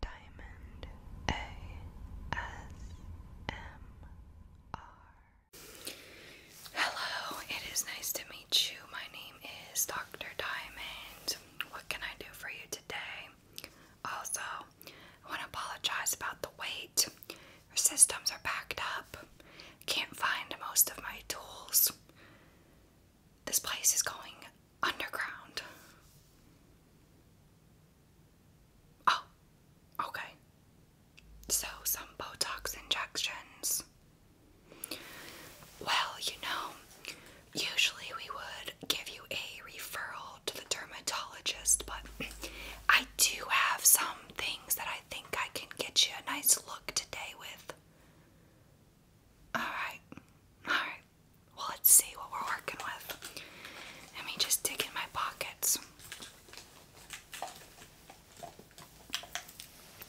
Diamond ASMR. Hello, it is nice to meet you. My name is Dr. Diamond. What can I do for you today? Also, I want to apologize about the wait. Our systems are backed up. Can't find most of my tools. This place is going underground. Oh, okay. So, some Botox injections. Well, you know, usually we would give you a referral to the dermatologist, but I do have some things that I think I can get you a nice look today with. Alright, alright well, let's see what we're working with. Let me just dig in my pockets.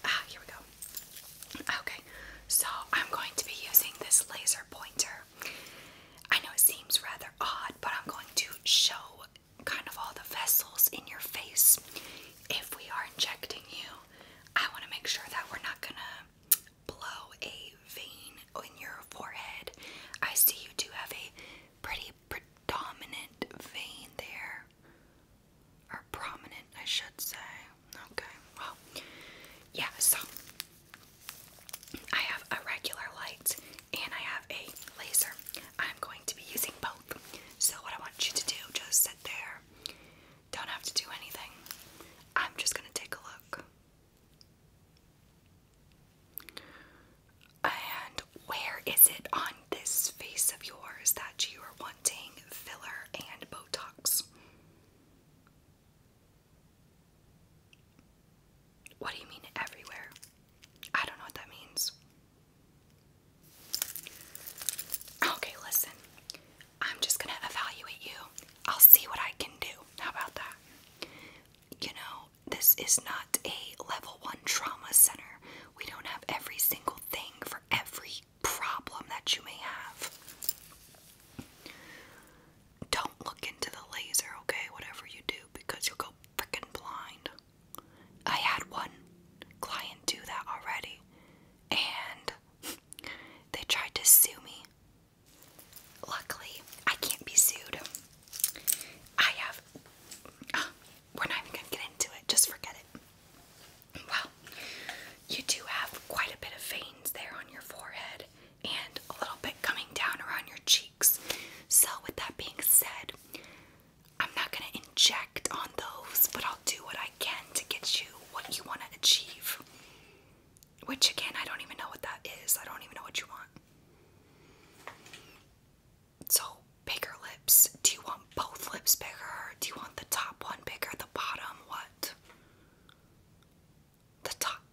Ah, here we go. Okay, so I'm going to be using this laser pointer. I know it seems rather odd, but I'm going to show kind of all the vessels in your face. If we are injecting you, I want to make sure that we're not gonna blow a vein in your forehead. I see you do have a pretty predominant vein there. Or prominent, I should say. Okay, well, yeah, so I have a regular light and I have a laser. I'm going to be using both. So, what I want you to do, just sit there. Don't have to do anything. I'm just gonna take a look. And where is it on this face of yours that you are wanting filler and Botox? What do you mean everywhere? I don't know what that means. Okay, listen. I'm just gonna evaluate you. I'll see what I can do. How about that? You know, this is not a level one trauma center. We don't have every single thing for every problem that you may have. Don't look into the laser, okay? Whatever you do, because you'll go freaking blind. I had one client do that already, and they tried to sue me Luckily, I can't be sued. I have. Uh, we're not even gonna get into it, just forget it. Well, you do have quite a bit of veins there on your forehead and a little bit coming down around your cheeks. So, with that being said, I'm not going to inject on those, but I'll do what I can to get you what you want to achieve. Which again, I don't even know what that is. I don't even know what you want. So, bigger lips. Do you want both lips bigger? Do you want the top one bigger? The bottom? What? The top.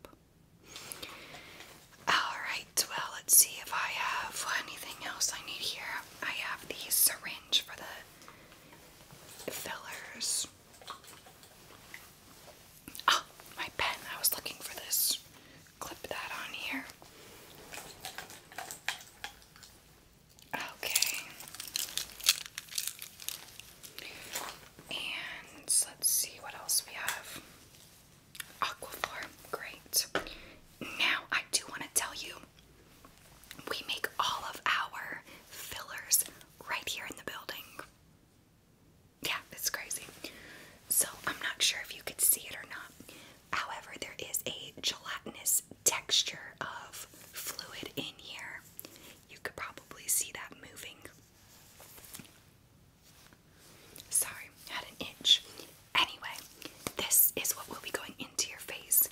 Alright, well, let's see if I have anything else I need here. I have the syringe for the fillers. Oh, my pen. I was looking for this. Clip that on here. Okay. And let's see what else we have. Aquaphor. Great. Now, I do want to tell you we make all of our fillers right here in the building. Yeah, it's crazy. So I'm not sure if you could see it or not. However, there is a gelatinous texture of fluid in here. You could probably see that moving. Sorry, had an itch. Anyway, this is what will be going into your face.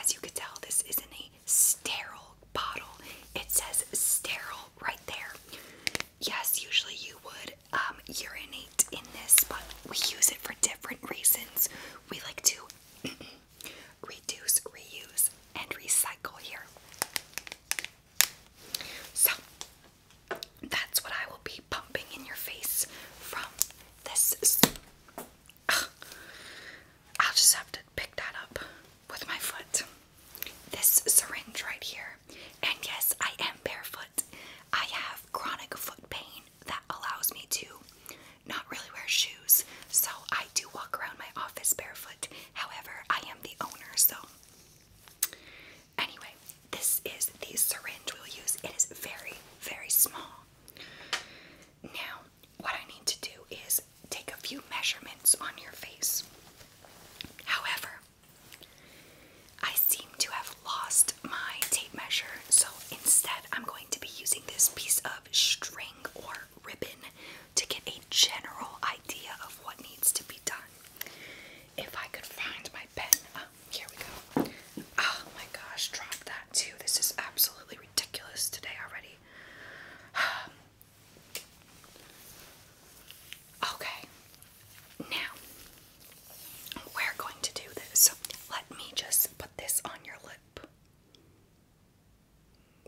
As you could tell, this is not a sterile bottle. It says sterile right there. Yes, usually you would um, urinate in this, but we use it for different reasons. We like to reduce, reuse, and recycle here. So, that's what I will be pumping in your face from this. I'll just have to pick that up with my foot this syringe right here. And yes, I am barefoot. I have chronic foot pain that allows me to not really wear shoes, so I do walk around my office barefoot. However, I am the owner, so. Anyway, this is the syringe we'll use. It is very, very small. Now, what I need to do is take a few measurements on your face. However, I seem to have lost my tape measure, so instead I'm going to be using this piece of string or ribbon to get a general idea of what needs to be done. If I could find my pen, uh, here we go. Oh my gosh, drop that too. This is absolutely ridiculous today already. Okay, now we're going to do this. Let me just put this on your lip.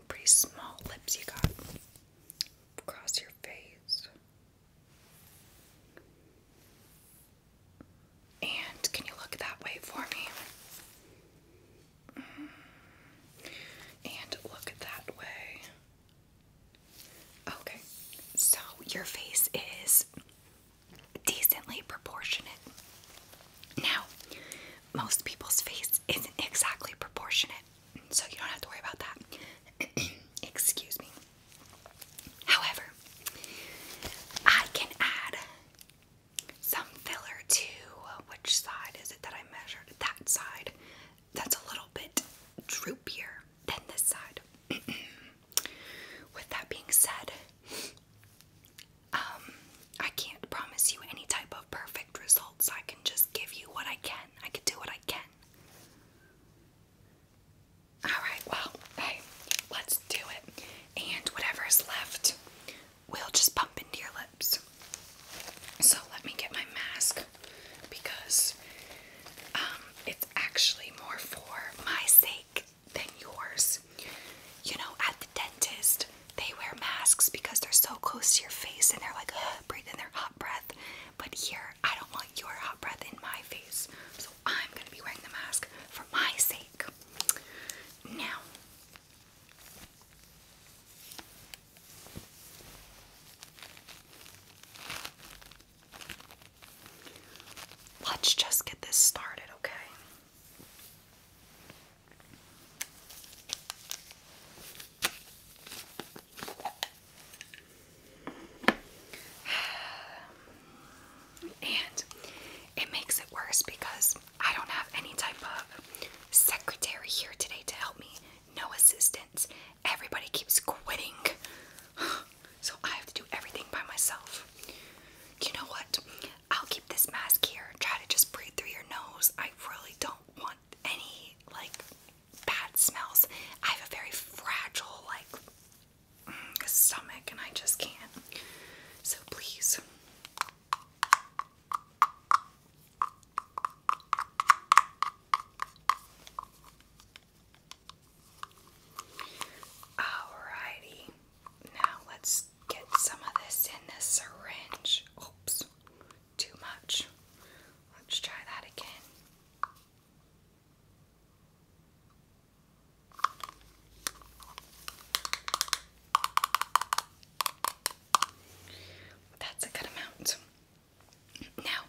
Pretty small lips you got. Across your face. And can you look that way for me? And look that way. Okay, so your face is decently proportionate. Now, most people's face isn't exactly proportionate, so you don't have to worry about that. Excuse me. However, I can add some filler to uh, which side is it that I measured? That side that's a little bit droopier than this side. With that being said, um, I can't promise you any type of perfect results. I can just give you what I can. I can do what I can. Alright, well, hey, let's do it. And whatever's left, we'll just bump into your so let me get my mask because um, it's actually more for my sake than yours. You know, at the dentist, they wear masks because they're so close to your face and they're like, uh, breathing their hot breath. But here, I don't want your hot breath in my face. So I'm going to be wearing the mask for my sake. Now, Let's just get this started, okay? And it makes it worse because I don't have any type of secretary here today to help me no assistance. Everybody keeps quitting. So I have to do everything by myself. You know what? I'll keep this mask here. Try to just breathe through your nose. I really don't want any like bad smells. I have a very fragile like mm, stomach and I just can't. So please. Alrighty, now let's get some of this in the syringe. Oops, too much. Let's try that again. That's a good amount. Now,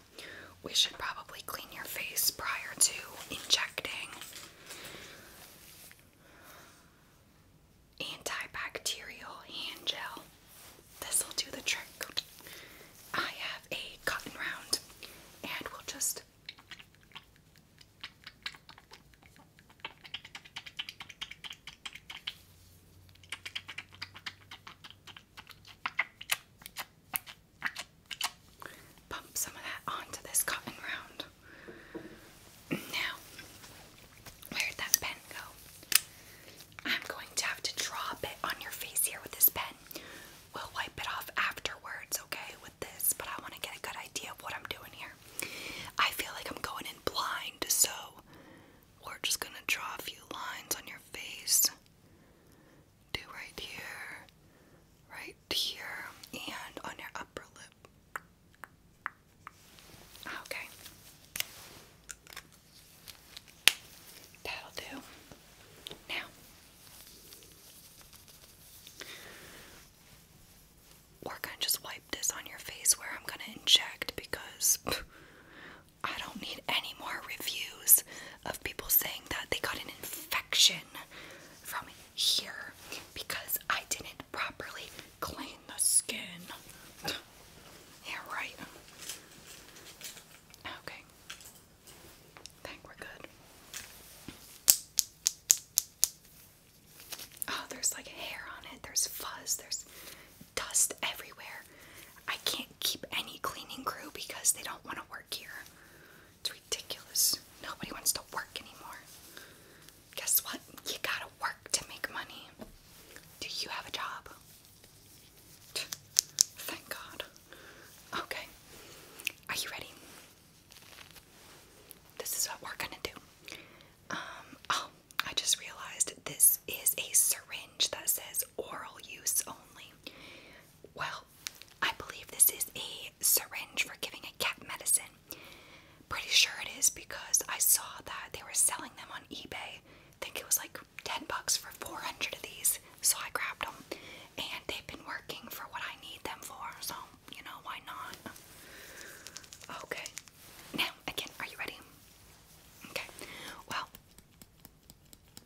we should probably clean your face prior to injecting antibacterial hand gel. This will do the trick. I have a cotton round, and we'll just Pump some of that onto this cotton round. Now, where'd that pen go? I'm going to have to draw a bit on your face here with this pen. We'll wipe it off afterwards, okay, with this, but I want to get a good idea of what I'm doing here. I feel like I'm going in blind, so we're just gonna draw a few lines on your face. Do right here, right here, and on your upper lip. Okay. That'll do. Now, we're gonna just wipe this on your face where I'm gonna inject because I don't need any more reviews of people saying that they got an infection from here because I didn't properly clean the skin. Yeah, right. Okay. I think we're good. Oh, there's like hair on it. There's fuzz. There's dust everywhere. I can't keep any cleaning crew because they don't want to work here. It's ridiculous. Nobody wants to work anymore. Guess what? You gotta work to make money. Do you have a job? Thank God. Okay. Are you ready? This is what we're gonna do. Um, oh, I just realized this is a syringe that says oral use only. Well, I believe this is a syringe for giving a cat medicine. Pretty sure it is because I saw that they were selling them on eBay. think it was like 10 bucks for 400 of these, so I grabbed them. And they've been working for what I need them for, so you know, why not? Okay, now again, are you ready? Okay, well,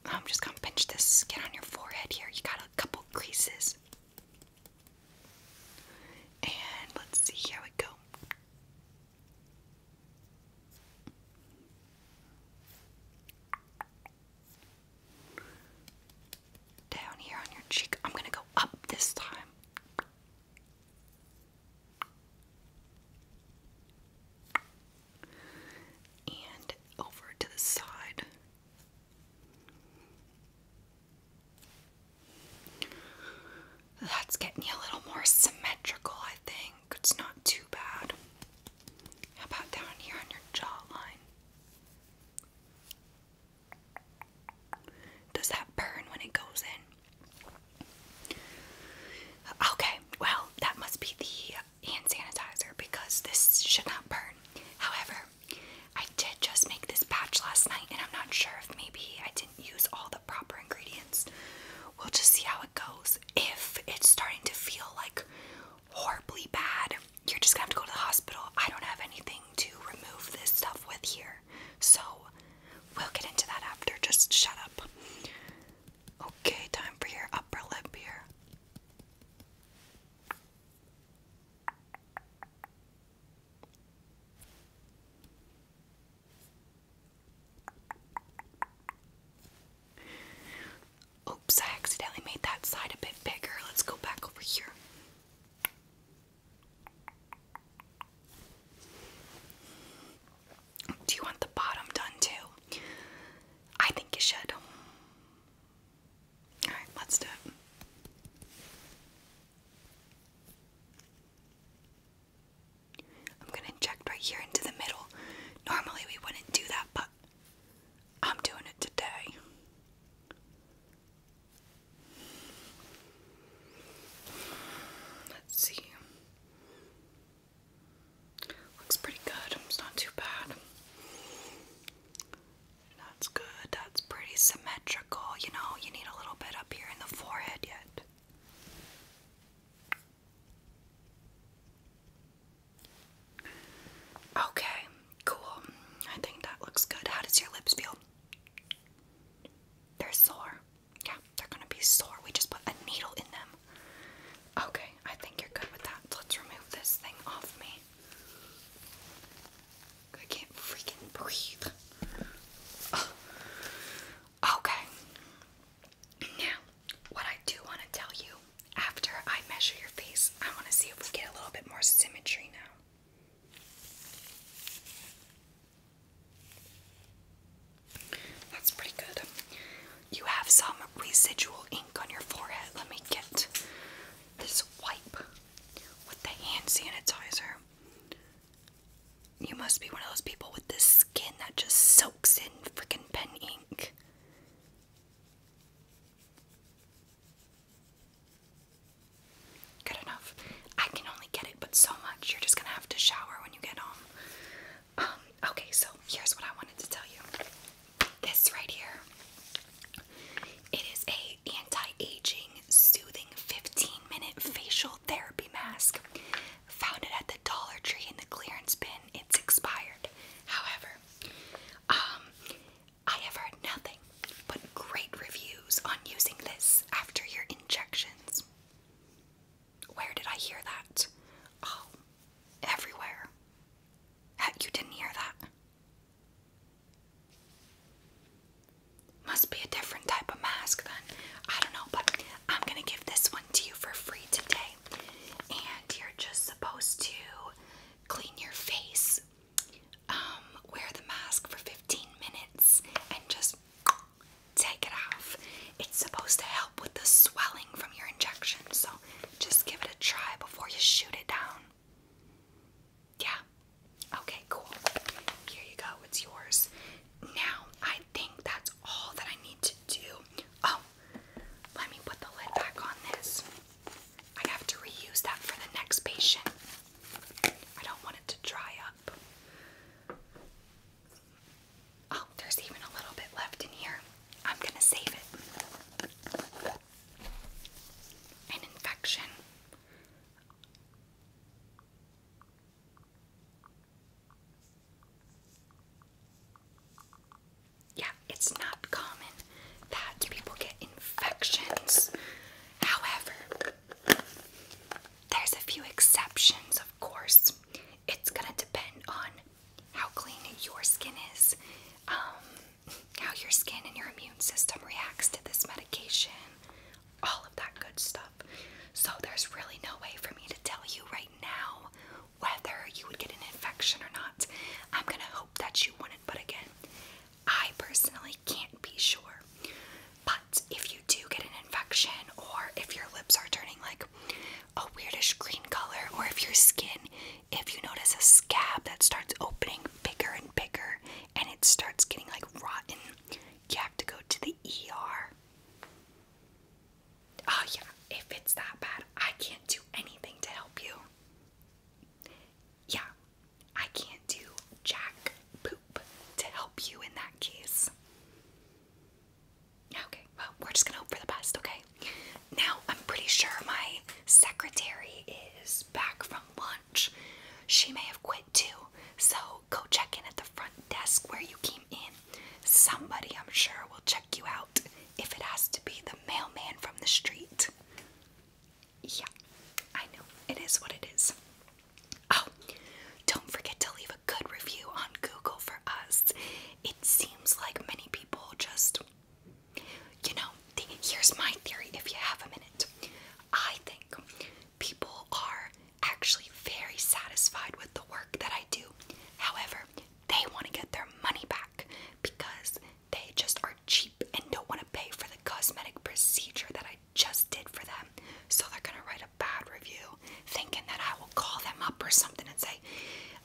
I'm just gonna pinch this skin on your forehead here. You got a couple creases. And let's see how it go. Down here on your cheek. I'm gonna go up this time and over to the side. That's getting you a little more symmetrical, I think. It's not too bad. How about down here on your jawline? Does that burn when it goes in? Okay, well, that must be the hand sanitizer because this should not burn. However, I did just make this batch last night and I'm not sure if maybe I didn't use all the proper ingredients. We'll just see how it goes. If it's starting to feel like horribly bad, you're just gonna have to go to the hospital. I don't have anything to remove this stuff with here. So We'll get into that after. Just shut up. Okay, time for your upper lip here. Oops, I accidentally made that side a bit bigger. Let's go back over here. Do you want the bottom done too? I think you should. Alright, let's do it. I'm gonna inject right here into the middle. Normally we wouldn't do that, but I'm doing it today. Let's see. Looks pretty good. It's not too bad. That's good. That's pretty symmetrical. You know, you need a little bit up here in the forehead yet. Okay, cool. I think that looks good. How does your lips feel? They're sore. Yeah, they're gonna be sore. We just put a needle in them. Okay, I think you're good with that. Let's remove this thing off me. I can't freaking breathe. Okay. Now, what I do want to tell you after I measure your face, I want to see if we get a little bit more symmetry now. That's pretty good. You have some residual ink on your forehead. Let me get this wipe with the hand sanitizer. You must be one of those people with this skin that just soaks in freaking pen ink. Good enough. I can only get it but so much. You're just gonna have to shower when you get home. Um, okay, so here's what I wanted to tell you. This right here. It is a anti-aging soothing 15-minute facial therapy mask. Found it at the Dollar Tree in the clearance bin. It's expired. However, um, I have heard nothing but great reviews on using this after your injections. Where did I hear that? Oh, everywhere. you didn't hear that. Must be a different type of mask then. I don't know, but I'm gonna give this one to you for free today. And you're just supposed to clean your face, um, wear the mask for 15 minutes, and just take it off. It's supposed to help with the swelling from your injection, so just give it a try before you shoot it down. Yeah. Okay, cool. Here you go, it's yours. Now, I think that's all that I need to do. Oh, let me put the lid back on this. I have to reuse that for the next patient. I don't want it to dry up. Oh, there's even a little bit left in here. I'm gonna save it. An infection. Yeah, it's not common that people get infections. However, there's a few exceptions, of course it's gonna depend on how clean your skin is, um, how your skin and your immune system reacts to this medication, all of that good stuff. So, there's really no way for me to tell you right now whether you would get an infection or not. I'm gonna hope that you wouldn't, but again, I personally can't be sure. But if you do get an infection or if your lips are turning like a weirdish green color or if your skin, if you notice a scab that starts opening bigger and bigger and it starts getting like rotten, you have to go to the ER. Oh, yeah, if it's that bad, I can't do anything to help you. Yeah, I can't do jack poop to help you in that case. Okay, well, we're just gonna hope for the best, okay? Now, I'm pretty sure my secretary is back from lunch. She may have quit too, so go check in at the front desk where you came in. Somebody, I'm sure, will check you out if it has to be the mailman from the street. Yeah, I know. It is what it is. Oh, don't forget to leave a good review on Google for us. It seems like many people just, you know, here's my theory if you have a minute. I think people are actually very satisfied with the work that I do. However, they want to get their money back because they just are cheap and don't want to pay for the cosmetic procedure that I just did for them. So they're going to write bad review, thinking that I will call them up or something and say,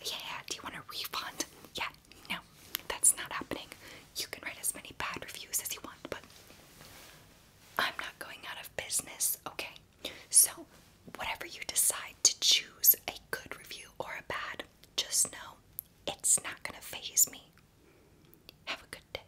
Yeah, do you want a refund? Yeah, no, that's not happening. You can write as many bad reviews as you want, but I'm not going out of business, okay? So, whatever you decide to choose a good review or a bad, just know it's not going to phase me. Have a good day.